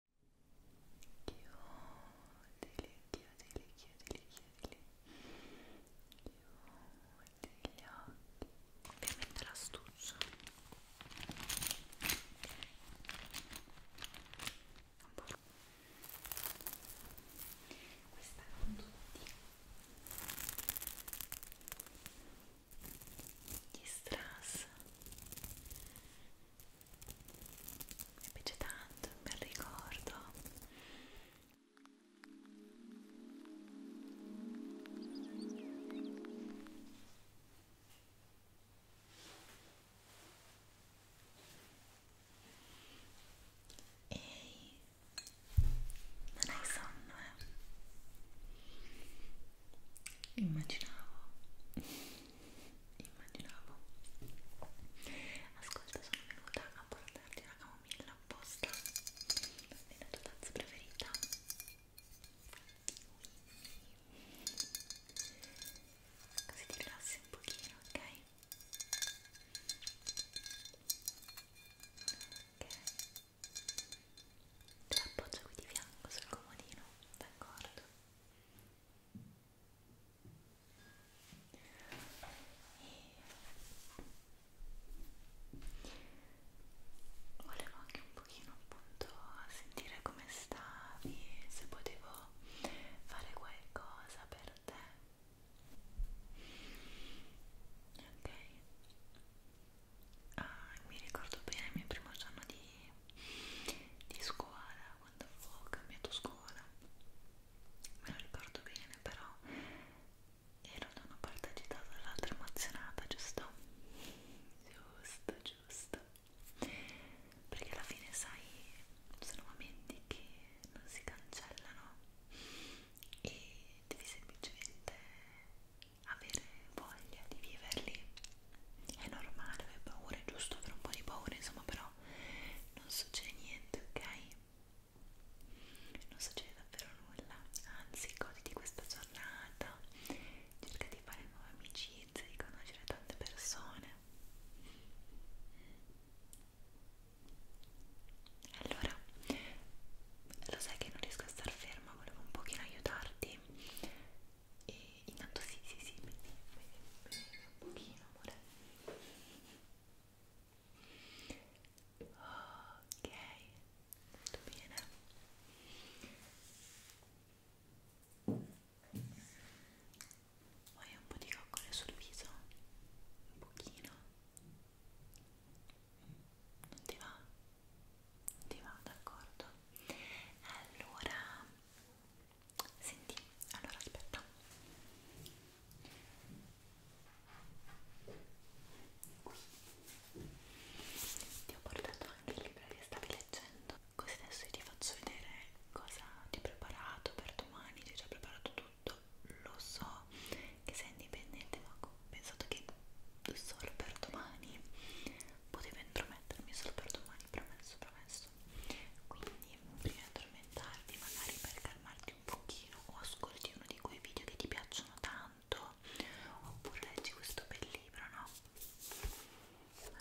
chiudili, chiudili, chiudili, chiudili chiudi gli occhi ovviamente l'astuccio questa con tutti gli strass mi piace tanto, un bel ricordo Ehi, non hai sonno eh? immaginavo immaginavo ascolta sono venuta a portarti una camomilla apposta nella tua tazza preferita così ti rilassi un pochino ok? ok te la appoggia qui di fianco sul comodino d'accordo e volevo anche un pochino appunto sentire come stavi se potevo fare qualcosa per te ok ah, mi ricordo bene il mio primo giorno di di scuola, quando ho cambiato scuola, me lo ricordo bene, però ero da una parte agitata dall'altra emozionata, giusto? Giusto, giusto. Perché alla fine sai, sono momenti che non si cancellano e devi semplicemente avere voglia di viverli è normale avere paura, è giusto avere un po' di paura, insomma, però non succede niente, ok? Non succede davvero nulla, anzi, goditi questa giornata, cerca di fare nuove amicizie, di conoscere tante persone. Allora, lo sai che non riesco a star ferma, volevo un pochino aiutarti e intanto sì sì sì mi un pochino amore ok molto bene poi un po' di coccole sul viso un pochino non ti va? ti va d'accordo? Allora, senti, allora aspetta. Qui. Ti ho portato anche il libro che stavi leggendo, così adesso io ti faccio vedere cosa ti ho preparato per domani, ti ho già preparato tutto, lo so che sei indipendente, ma ho pensato che solo per domani potevo intromettermi solo per domani, promesso, promesso quindi prima di addormentarti magari per calmarti un pochino o ascolti uno di quei video che ti piacciono tanto oppure leggi questo bel libro, no?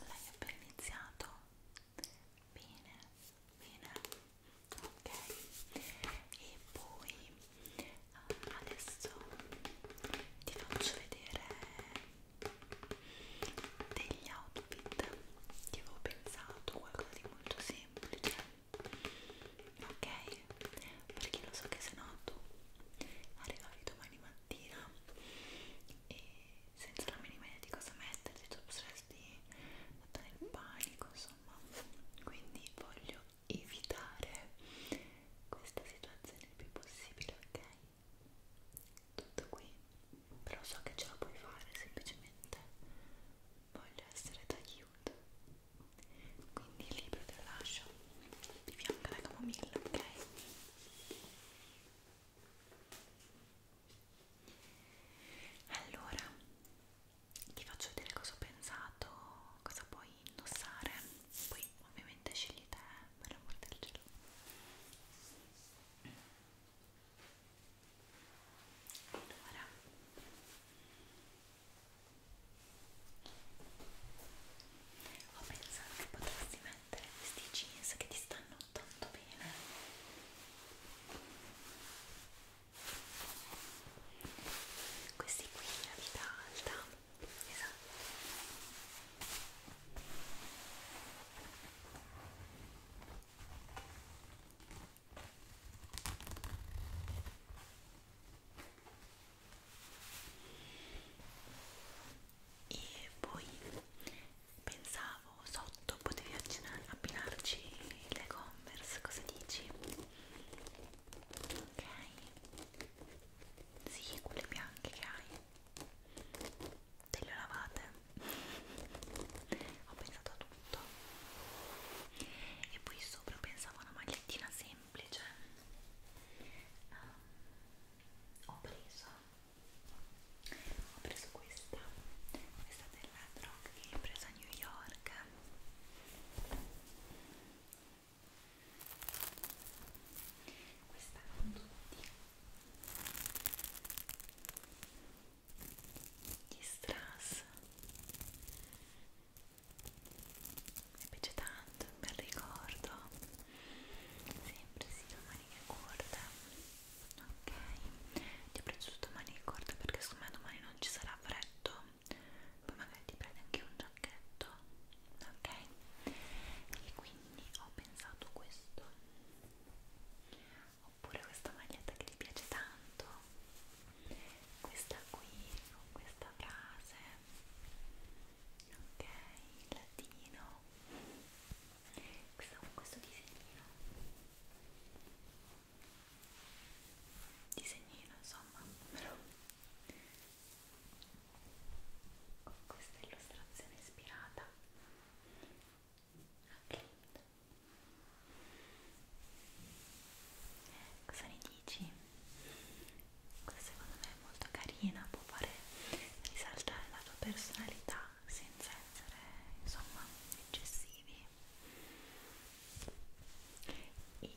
L'hai appena iniziato? Bene, bene, ok e poi eh, adesso ti faccio vedere degli outfit che avevo pensato qualcosa di molto semplice ok perché lo so che se no tu arrivavi domani mattina e senza la minima idea di cosa metterti tu potresti andare in panico insomma quindi voglio evitare questa situazione il più possibile ok tutto qui però so che ce la puoi fare semplicemente voglio essere d'aiuto quindi il libro te lo lascio di fianco alla camomilla ok allora ti faccio vedere cosa ho pensato cosa puoi indossare poi ovviamente scegli te per l'amor del cielo allora ho pensato che potresti mettere questi jeans che ti stanno tanto bene questi qui a vita alta esatto. E poi pensavo sotto potevi abbinarci le Converse, cosa dici? Ok, sì, quelle bianche che hai te le lavate ho pensato a tutto e poi sopra pensavo a una magliettina semplice um, ho preso ho preso questa questa della Rock che l'ho presa a New York questa con tutti gli strass mi piace tanto, un bel ricordo sempre sì, la manica corta ok ti ho preso tutto maniche corte perché secondo me domani non ci sarà freddo poi magari ti prendi anche un giacchetto ok e quindi ho pensato questo oppure questa maglietta che ti piace tanto questa qui con questa frase ok latino questa con questo disegnino disegnino insomma però con questa illustrazione ispirata a Clint cosa ne dici? questa secondo me è molto carina può fare risaltare la tua personalità senza essere insomma eccessivi e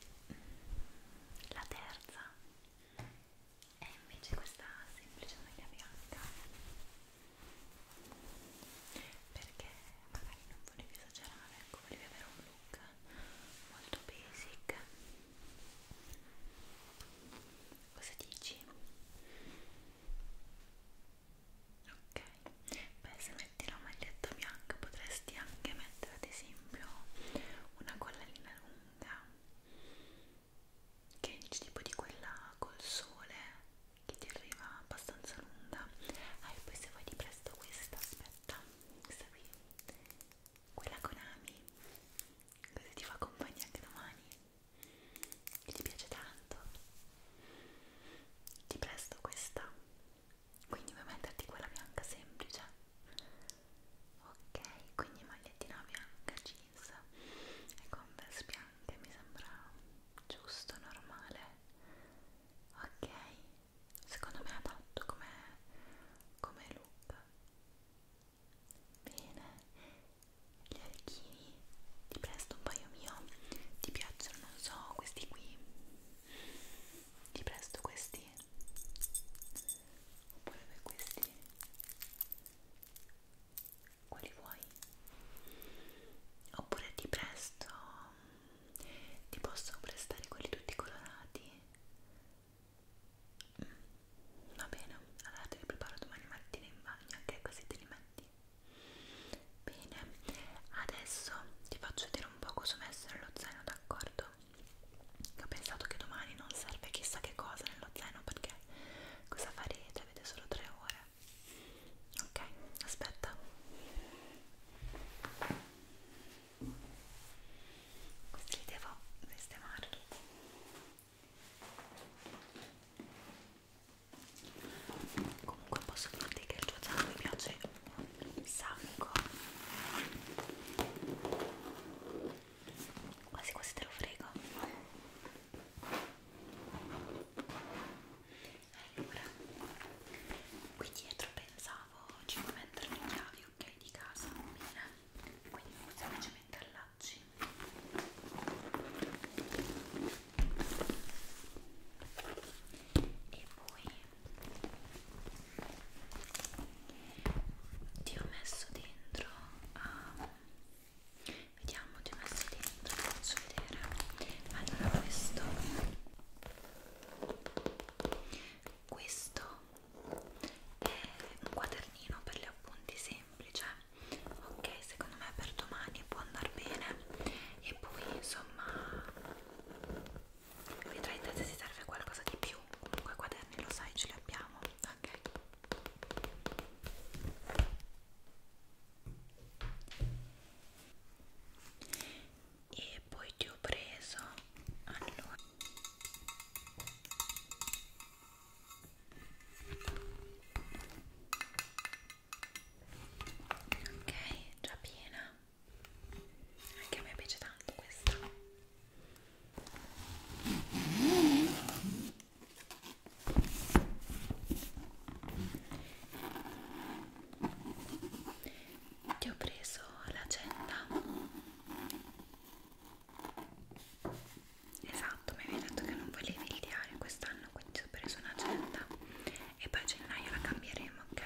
la terza e invece questa semplice maglia bianca perché magari non volevi esagerare ecco volevi avere un look molto basic cosa dici? ok beh se metti la maglietta bianca potresti anche mettere ad esempio una collanina lunga che è tipo di quella col sole che ti arriva abbastanza lunga ah e poi se vuoi ti presto questa aspetta questa qui quella Konami così ti fa compagnia anche domani che ti piace tanto ti presto questa quindi vuoi metterti quella bianca semplice ok quindi magliettina bianca jeans e converse bianche mi sembra giusto normale ok secondo me adatto come come look bene gli orecchini ti presto un paio mio ti piacciono non so questi qui ti presto questi oppure per questi quali vuoi oppure ti presto mm, ti posso prestare quelli tutti colorati mm, va bene allora te li preparo domani mattina in bagno anche così te li metti bene adesso ti faccio vedere un po' cosa ho messo nello zaino d'accordo ho pensato che domani non serve chissà che cosa nello zaino perché cosa farete? Avete solo tre ore. Ok, aspetta. Questi li devo sistemare tutti. Comunque posso dirti che il tuo zaino mi piace un sacco quasi quasi te lo frego allora qui dietro pensavo ci puoi mettere le chiavi ok di casa bene quindi semplicemente allacci e poi ti ho messo dentro um, vediamo ti ho messo dentro faccio vedere allora questo questo è un quadernino per gli appunti semplice ok secondo me per domani può andare bene e poi insomma vedrai te se ti serve qualcosa di più comunque quaderni lo sai ce li abbiamo ok e poi ti ho preso allora ok già piena anche a me piace tanto questa ti ho preso l'agenda esatto mi avevi detto che non volevi il diario quest'anno quindi ho preso un'agenda e poi a gennaio la cambieremo ok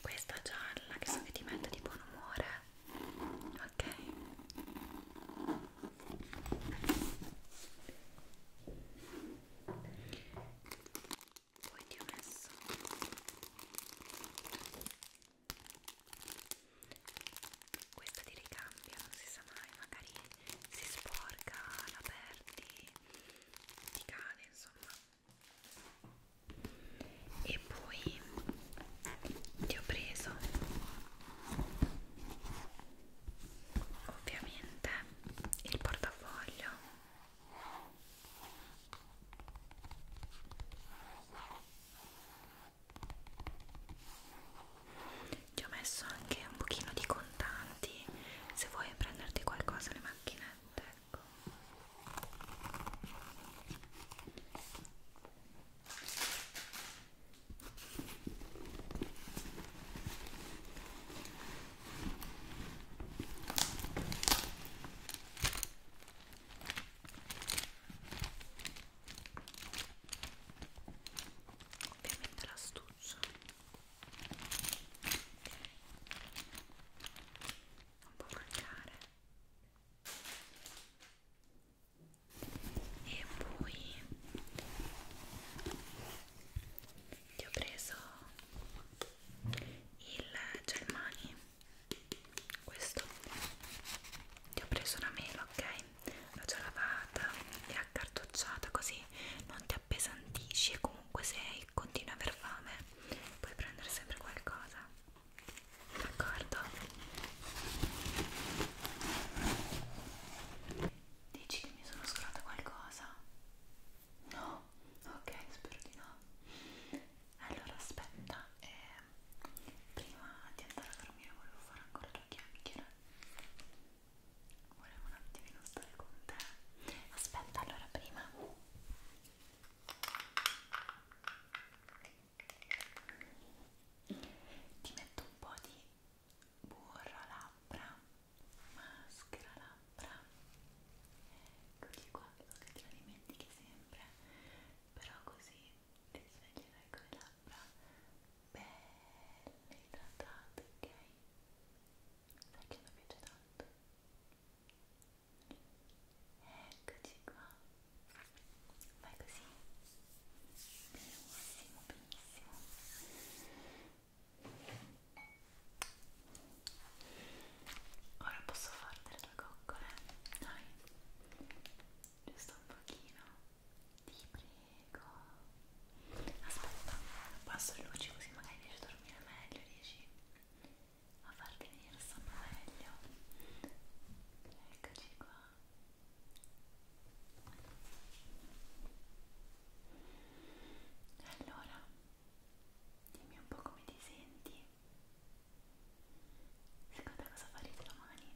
questa gialla che so che ti mette di buon umore ok poi ti ho messo questa ti ricambia non si sa mai magari si sporca la perdi ti cade insomma e poi ti ho preso ovviamente il portafoglio ti ho messo anche un pochino di contanti se vuoi prenderti qualcosa le macchinette ecco Ovviamente l'astuccio non può mancare e poi ti ho preso il gel mani questo ti ho preso una mela ok l'ho già lavata e accartocciata così non ti appesantisci e comunque se continui a aver fame puoi prendere sempre qualcosa d'accordo? dici che mi sono scordata qualcosa? no? ok spero di no allora aspetta eh, prima di andare a dormire volevo fare ancora due chiacchiere volevo un attimino stare con te aspetta allora prima ti metto un po' di burro labbra maschera labbra eccoli qua so che te la dimentichi sempre però così ti sveglierai con le labbra belle idratate ok sai che mi piace tanto Eccoci qua. Fai così. Benissimo, benissimo. Ora posso fare delle tue coccole. Dai. Giusto un pochino. Ti prego. Aspetta, passo le luci così magari riesci a dormire meglio, dici? a farti venire il sonno meglio eccoci qua allora dimmi un po' come ti senti secondo te cosa farete domani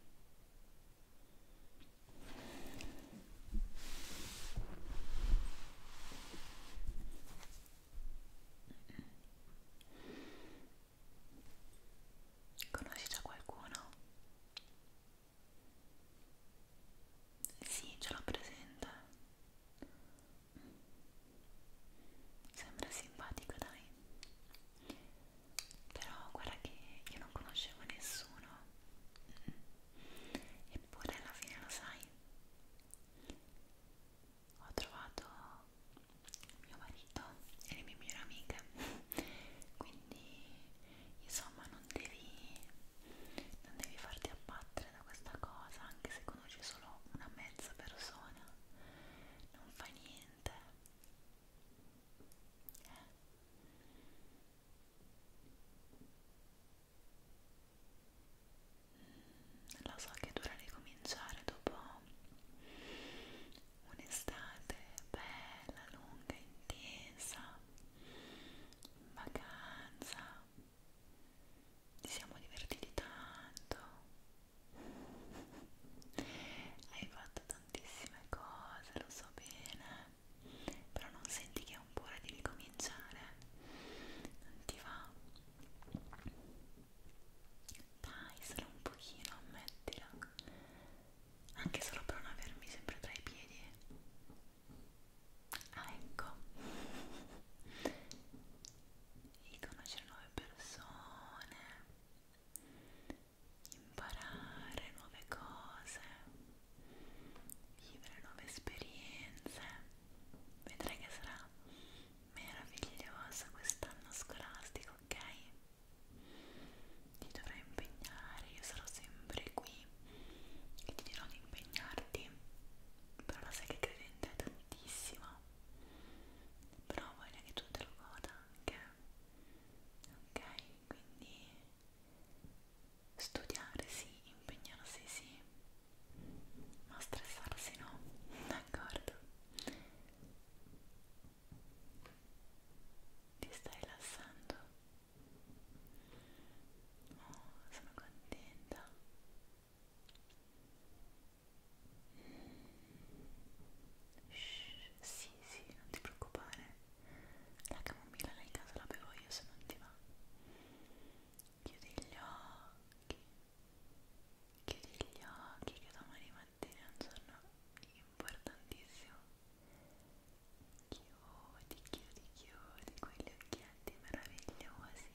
Conosci già qualcuno? Sì, ce l'ho presente. Sembra simpatico, dai. Però guarda che io non conoscevo nessuno. Eppure alla fine lo sai ho trovato mio marito e le mie migliori amiche quindi insomma non devi non devi farti abbattere da questa cosa anche se conosci solo una mezza persona non fa niente eh lo so che è dura ricominciare dopo un'estate bella, lunga, intensa, in vacanza, ci siamo divertiti tanto, hai fatto tantissime cose, lo so bene, però non senti che è un po' ora di ricominciare non ti va? dai solo un pochino ammettila anche solo per non avermi sempre tra i piedi ah ecco e conoscere nuove persone imparare nuove cose vivere nuove esperienze vedrai che sarà meraviglioso quest'anno scolastico ok? ti dovrai impegnare io sarò sempre qui e ti dirò di impegnarti però lo sai che credente è tantissimo però voglio che tu te lo goda anche ok? quindi studiare sì, impegnarsi sì, ma stressarsi no, d'accordo? Ti stai rilassando? Oh, sono contenta. Mm. Shh, sì, sì, non ti preoccupare. La camomilla nel caso la bevo io se non ti va. Chiudi gli occhi, chiudi gli occhi che domani mattina è un giorno importantissimo. Chiudi, chiudi, chiudi quegli occhietti meravigliosi.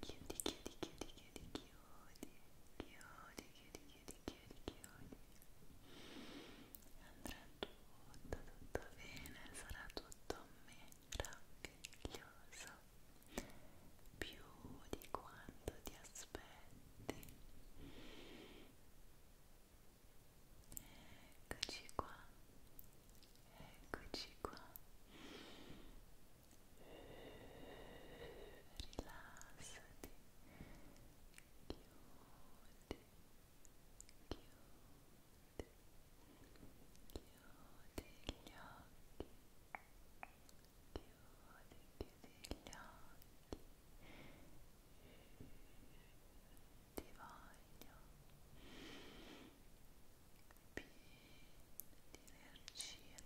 Chiudi, chiudi, chiudi, chiudi, chiudi, chiudi, chiudi, chiudi, chiudi, chiudi. Andrà tutto tutto, tutto bene, sarà tutto meraviglioso più di quanto ti aspetti eccoci qua eccoci qua rilassati chiudi chiudi gli occhi chiudi, chiudi gli occhi ti voglio pieno di energia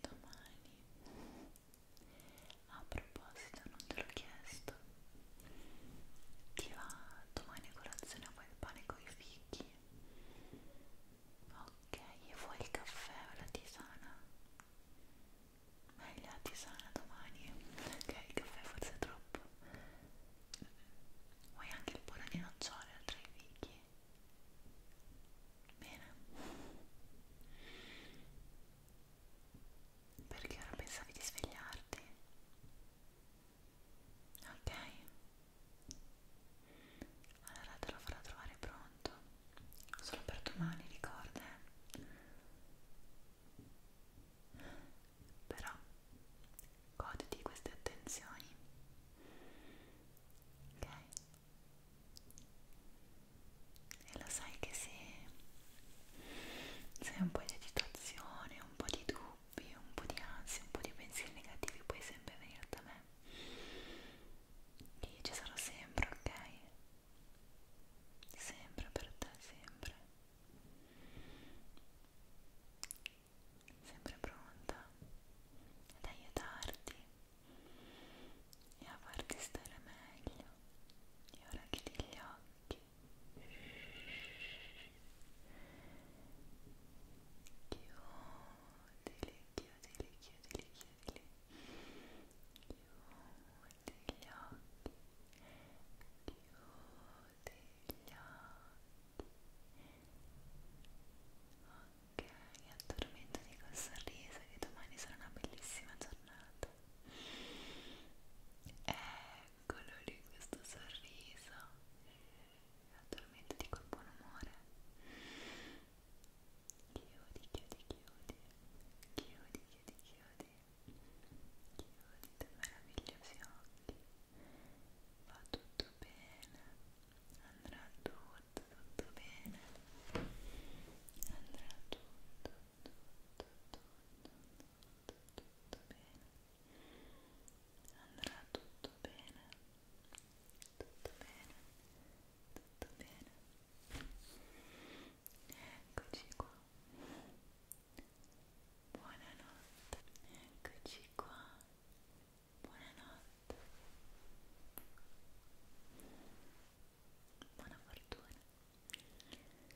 domani a proposito non te l'ho chiesto ti va domani a colazione poi il pane con i fichi? Ok, e vuoi il caffè o la tisana? Meglio la tisana domani, ok, il caffè forse è troppo. Vuoi anche il burro di nocciole oltre ai fichi? Bene. Perché ora pensavi di svegliarti? ok allora te lo farò trovare pronto solo per domani ricorda eh. però goditi queste attenzioni ok e lo sai che se, se hai un po' di agitazione un po' di dubbio dubbi, un po' di ansia, un po' di pensieri negativi puoi sempre venire da me io ci sarò sempre, ok? sempre per te, sempre sempre pronta ad aiutarti e a farti stare meglio e ora chiudi gli occhi chiudili, chiudili, chiudili, chiudili chiudi gli occhi chiudi gli occhi ok, addormentati col sorriso che domani sarà una bellissima giornata ecco eccolo lì questo sorriso naturalmente di quel buon umore chiudi, chiudi, chiudi chiudi, chiudi, chiudi chiudi dei meravigliosi occhi va tutto bene andrà tutto, tutto bene andrà tutto, tutto, tutto, tutto tutto bene andrà tutto bene tutto bene tutto bene eccoci qua buonanotte eccoci qua buonanotte buona fortuna